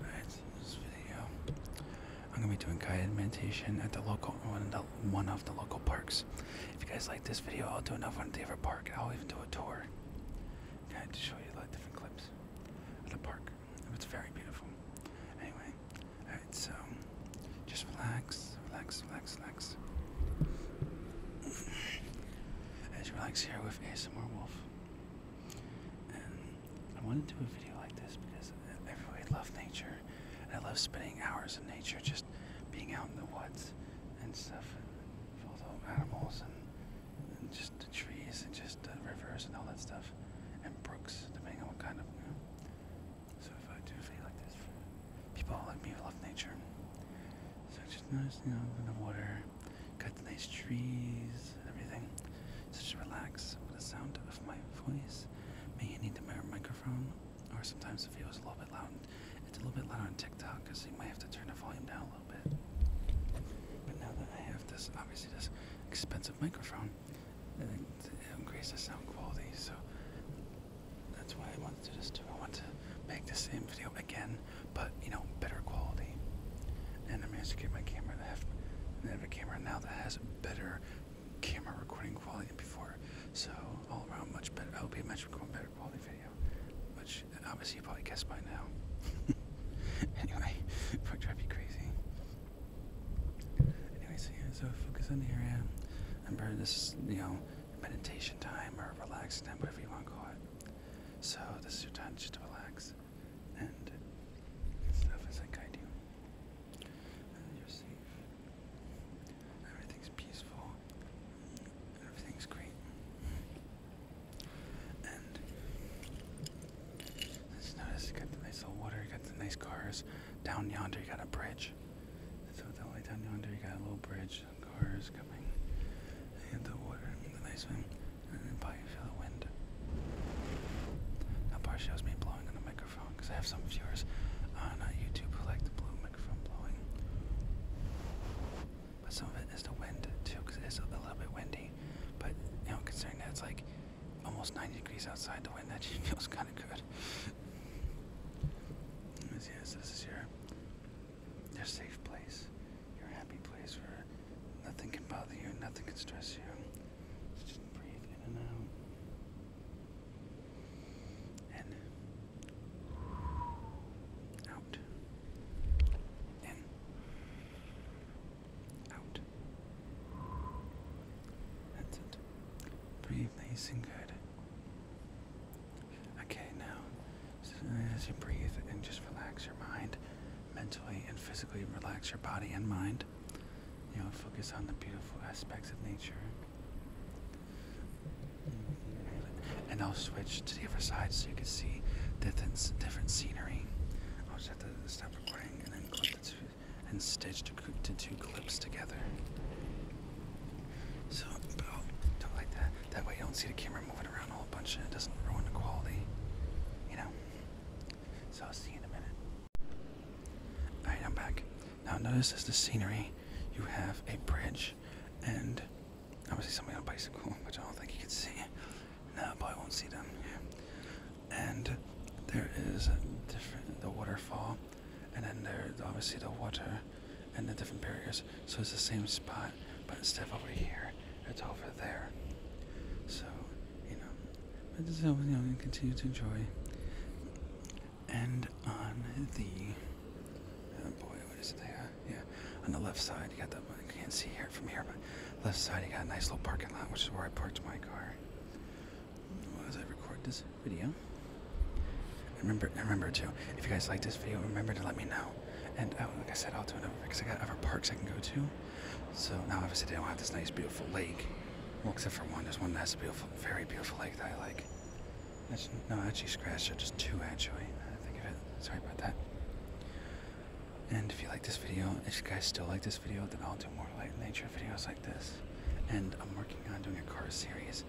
Alright, this video, I'm gonna be doing guided meditation at the local one of the, one of the local parks. If you guys like this video, I'll do another one at the other park. I'll even do a tour, okay, to show you like different clips of the park. It's very beautiful. Anyway, alright, so just relax, relax, relax, relax. As you relax here with ASMR Wolf. And I want to do a video like this because I really love nature. And I love spending hours in nature, just being out in the woods and stuff, and with all the animals and, and just the trees and just the rivers and all that stuff, and brooks, depending on what kind of. You know. So if I do a video like this, people like me who love nature, such nice, you know, in the water, cut nice trees, and everything. Such relax with the sound of my voice. May you need the microphone, or sometimes the video is a little bit loud. It's a little bit louder on TikTok, because you might have to turn the volume down a little bit. But now that I have this, obviously this expensive microphone, it, it increases sound quality. So that's why I want let's I want to make the same video again, but you know, better quality. And I managed to get my camera to have, I have a camera now that has better camera recording quality than before. So all around, much better. I'll be a much better quality video, which obviously you probably guessed by now. anyway, probably try to be crazy. Anyway, so focus on the area. Remember, this you know meditation time or relaxing time, whatever you want to call it. So this is your time just to relax and stuff is I guide you. And you're safe. Everything's peaceful. Everything's great. And just notice you got the nice little water, you got the nice cars. Down yonder you got a bridge. So the way down yonder you got a little bridge some cars coming into the water and the they swim and then probably feel the wind. Now partially that me blowing on the microphone because I have some viewers on uh, YouTube who like the blue microphone blowing. But some of it is the wind too because it is a little bit windy. But you know considering that it's like almost 90 degrees outside the wind that feels kind of good. Yes, this is your your safe place, your happy place where nothing can bother you, nothing can stress you. just breathe in and out. And out. In. Out. That's it. Breathe nice and good. Okay, now, uh, as you breathe and just relax your mind, mentally and physically relax your body and mind. You know, focus on the beautiful aspects of nature. Mm-hmm. And I'll switch to the other side so you can see different, different scenery. I'll just have to stop recording and then click the two and stitched to two clips together. So, but oh, don't like that. That way you don't see the camera moving around a whole bunch and it doesn't ruin the quality, you know? So I'll see you in a minute. Alright, I'm back. Now notice as the scenery, you have a bridge and I obviously somebody on a bicycle, which I don't think you can see. No, probably won't see them. And there is a different, the waterfall and then there's obviously the water and the different barriers. So it's the same spot, but instead of over here, it's over there. So, you know, I just you know, continue to enjoy. And on the oh boy, what is it there? Yeah, on the left side, you got the I can't see here from here, but left side, you got a nice little parking lot, which is where I parked my car as I record this video. Remember, remember too, if you guys like this video, remember to let me know. And uh, like I said, I'll do another because I got other parks I can go to. So now obviously I don't have this nice beautiful lake. Well, except for one. There's one that has a beautiful, very beautiful lake that I like. That's no, actually scratch that. Just two, actually. I think of it. Sorry about that. And if you like this video, if you guys still like this video, then I'll do more like nature videos like this. And I'm working on doing a car series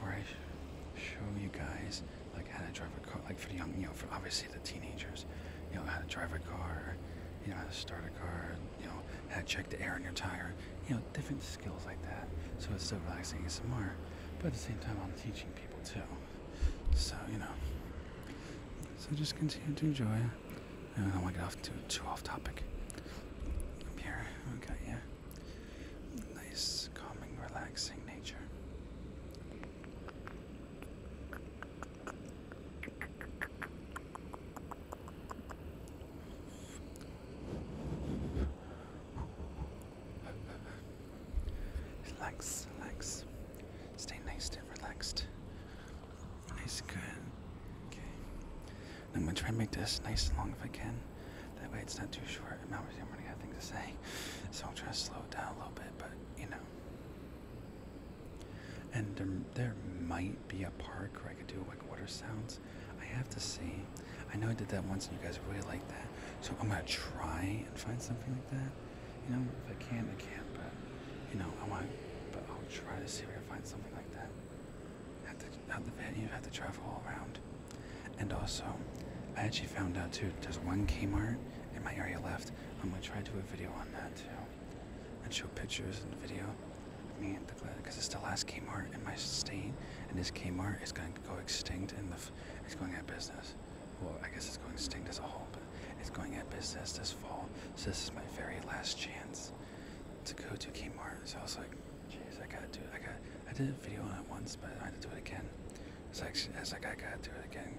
where I show you guys like how to drive a car, like for the young, you know, for obviously the teenagers, you know, how to drive a car, you know, how to start a car, you know, how to check the air in your tire, you know, different skills like that. So it's so relaxing and more, but at the same time, I'm teaching people too. So, you know, so just continue to enjoy I don't want to get off too, too off topic. here, okay, yeah. Nice, calming, relaxing nature. Relax, relax. Stay nice and relaxed. Nice, good. Okay. I'm gonna try and make this nice and long if I can. That way it's not too short. And I'm running out of things to say. So I'll try to slow it down a little bit, but you know. And there, there might be a park where I could do like water sounds. I have to see. I know I did that once and you guys really liked that. So I'm gonna try and find something like that. You know, if I can, I can. But you know, I want. But I'll try to see if I can find something like that. At the at the venue, have to travel all around. And also, I actually found out too. There's one Kmart in my area left. I'm gonna try to do a video on that too, and show pictures and video. I mean, because it's the last Kmart in my state, and this Kmart is gonna go extinct, and the it's going out of business. Well, I guess it's going extinct as a whole, but it's going out business this fall. So this is my very last chance to go to Kmart. So I was like, jeez, I gotta do I got, to I did a video on it once, but I had to do it again. It's like, it's like I gotta do it again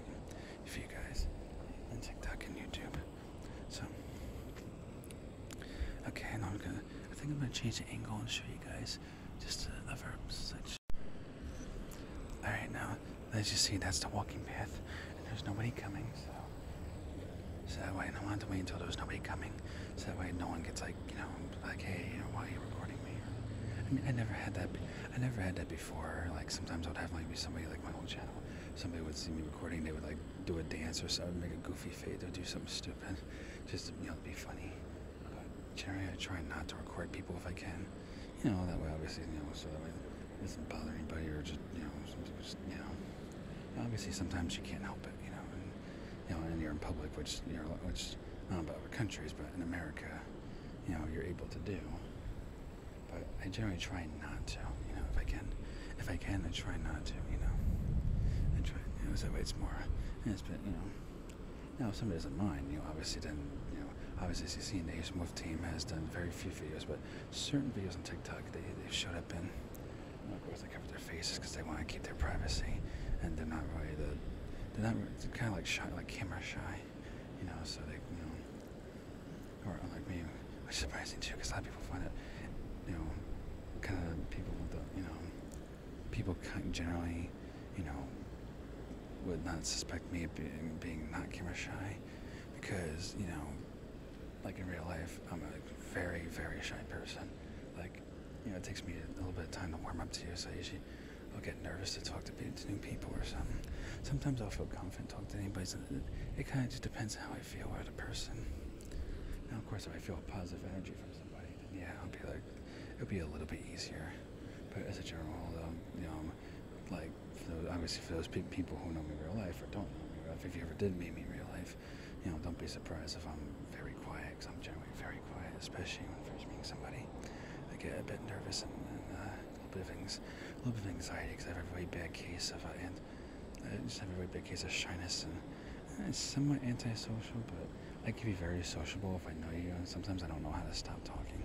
for you guys on TikTok and YouTube. So, okay, and I'm gonna, I think I'm gonna change the angle and show you guys just a, a verb Alright, now, as you see, that's the walking path, and there's nobody coming, so. So that way, I wanted to wait until there was nobody coming, so that way no one gets like, you know, like, hey, why are you recording me? I mean, I never had that. I never had that before. Like sometimes I would have like be somebody like my whole channel. Somebody would see me recording. They would like do a dance or something, make a goofy face, or do something stupid, just you know, be funny. But generally, I try not to record people if I can you know, that way obviously, you know, so that way it doesn't bother anybody or just, you know, just, you know, obviously sometimes you can't help it, you know, and, you know, and you're in public, which, you know, which, I don't know about other countries, but in America, you know, you're able to do. But I generally try not to, you know, if I can, if I can, I try not to, you know, I try, you know, so that way it's more, it's been, you know, now, if somebody doesn't mind, you know, obviously then, you know, obviously CC and the Asian Wolf team has done very few videos, but certain videos on TikTok they, they've showed up in. You know, of course, they cover their faces because they want to keep their privacy, and they're not really the, they're not they're kind of like shy, like camera shy, you know. So they, you know, or unlike me, which is surprising too, because a lot of people find it, you know, kind of people with the, you know, people generally, you know, would not suspect me of being, not camera shy because, you know, like in real life, I'm a very, very shy person. Like, you know, it takes me a little bit of time to warm up to you, so I usually I'll get nervous to talk to, new people or something. Sometimes I'll feel confident talk to anybody. it, kind of just depends how I feel about a person. Now, of course, if I feel positive energy from somebody, then yeah, I'll be like, it'll be a little bit easier. But as a general rule, though, you know, like for those, obviously for those pe people who know me real life or don't know me real life, if you ever did meet me in real life, you know, don't be surprised if I'm very quiet because I'm generally very quiet, especially when first meeting somebody. I get a bit nervous and, and uh, a little bit of a little bit of anxiety because I have a very bad case of uh, and I uh, just have a very bad case of shyness and uh, it's somewhat antisocial, but I can be very sociable if I know you, and sometimes I don't know how to stop talking.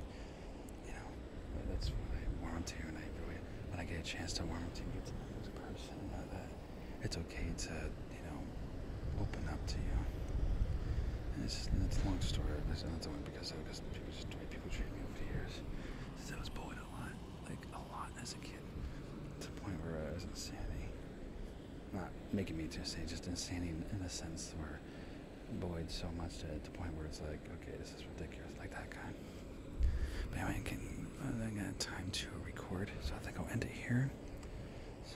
You know, but that's what I want to, and I really, when I get a chance to warm up to get to know this person, know that it's okay to, you know, open up to you. And it's just, it's a long story. It's not only because of because people just the way people treat me over the years. Since I was bullied a lot, like a lot as a kid, to the point where I was insanity not making me too say just insane in a sense where Boyd so much to, the point where it's like, okay, this is ridiculous, like that guy. But anyway, I can I got time to record, so I think I'll end it here. So,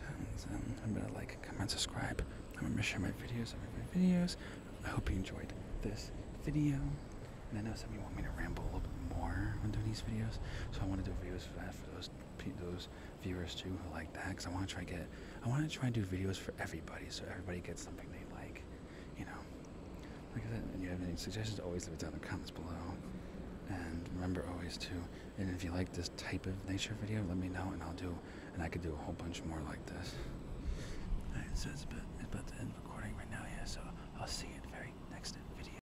I'm gonna like, comment, subscribe. I'm gonna share my videos, I'm gonna my videos. I hope you enjoyed this video. And I know some of you want me to ramble a little bit more when doing these videos, so I want to do videos for, that, for those those viewers too who like that because I want to try get I want to try and do videos for everybody so everybody gets something they like, you know. Like I said, and you have any suggestions, always leave it down in the comments below. And remember always to, and if you like this type of nature video, let me know and I'll do, and I could do a whole bunch more like this. It says it's about, it's about to end recording right now, yeah, so I'll see you in the very next video.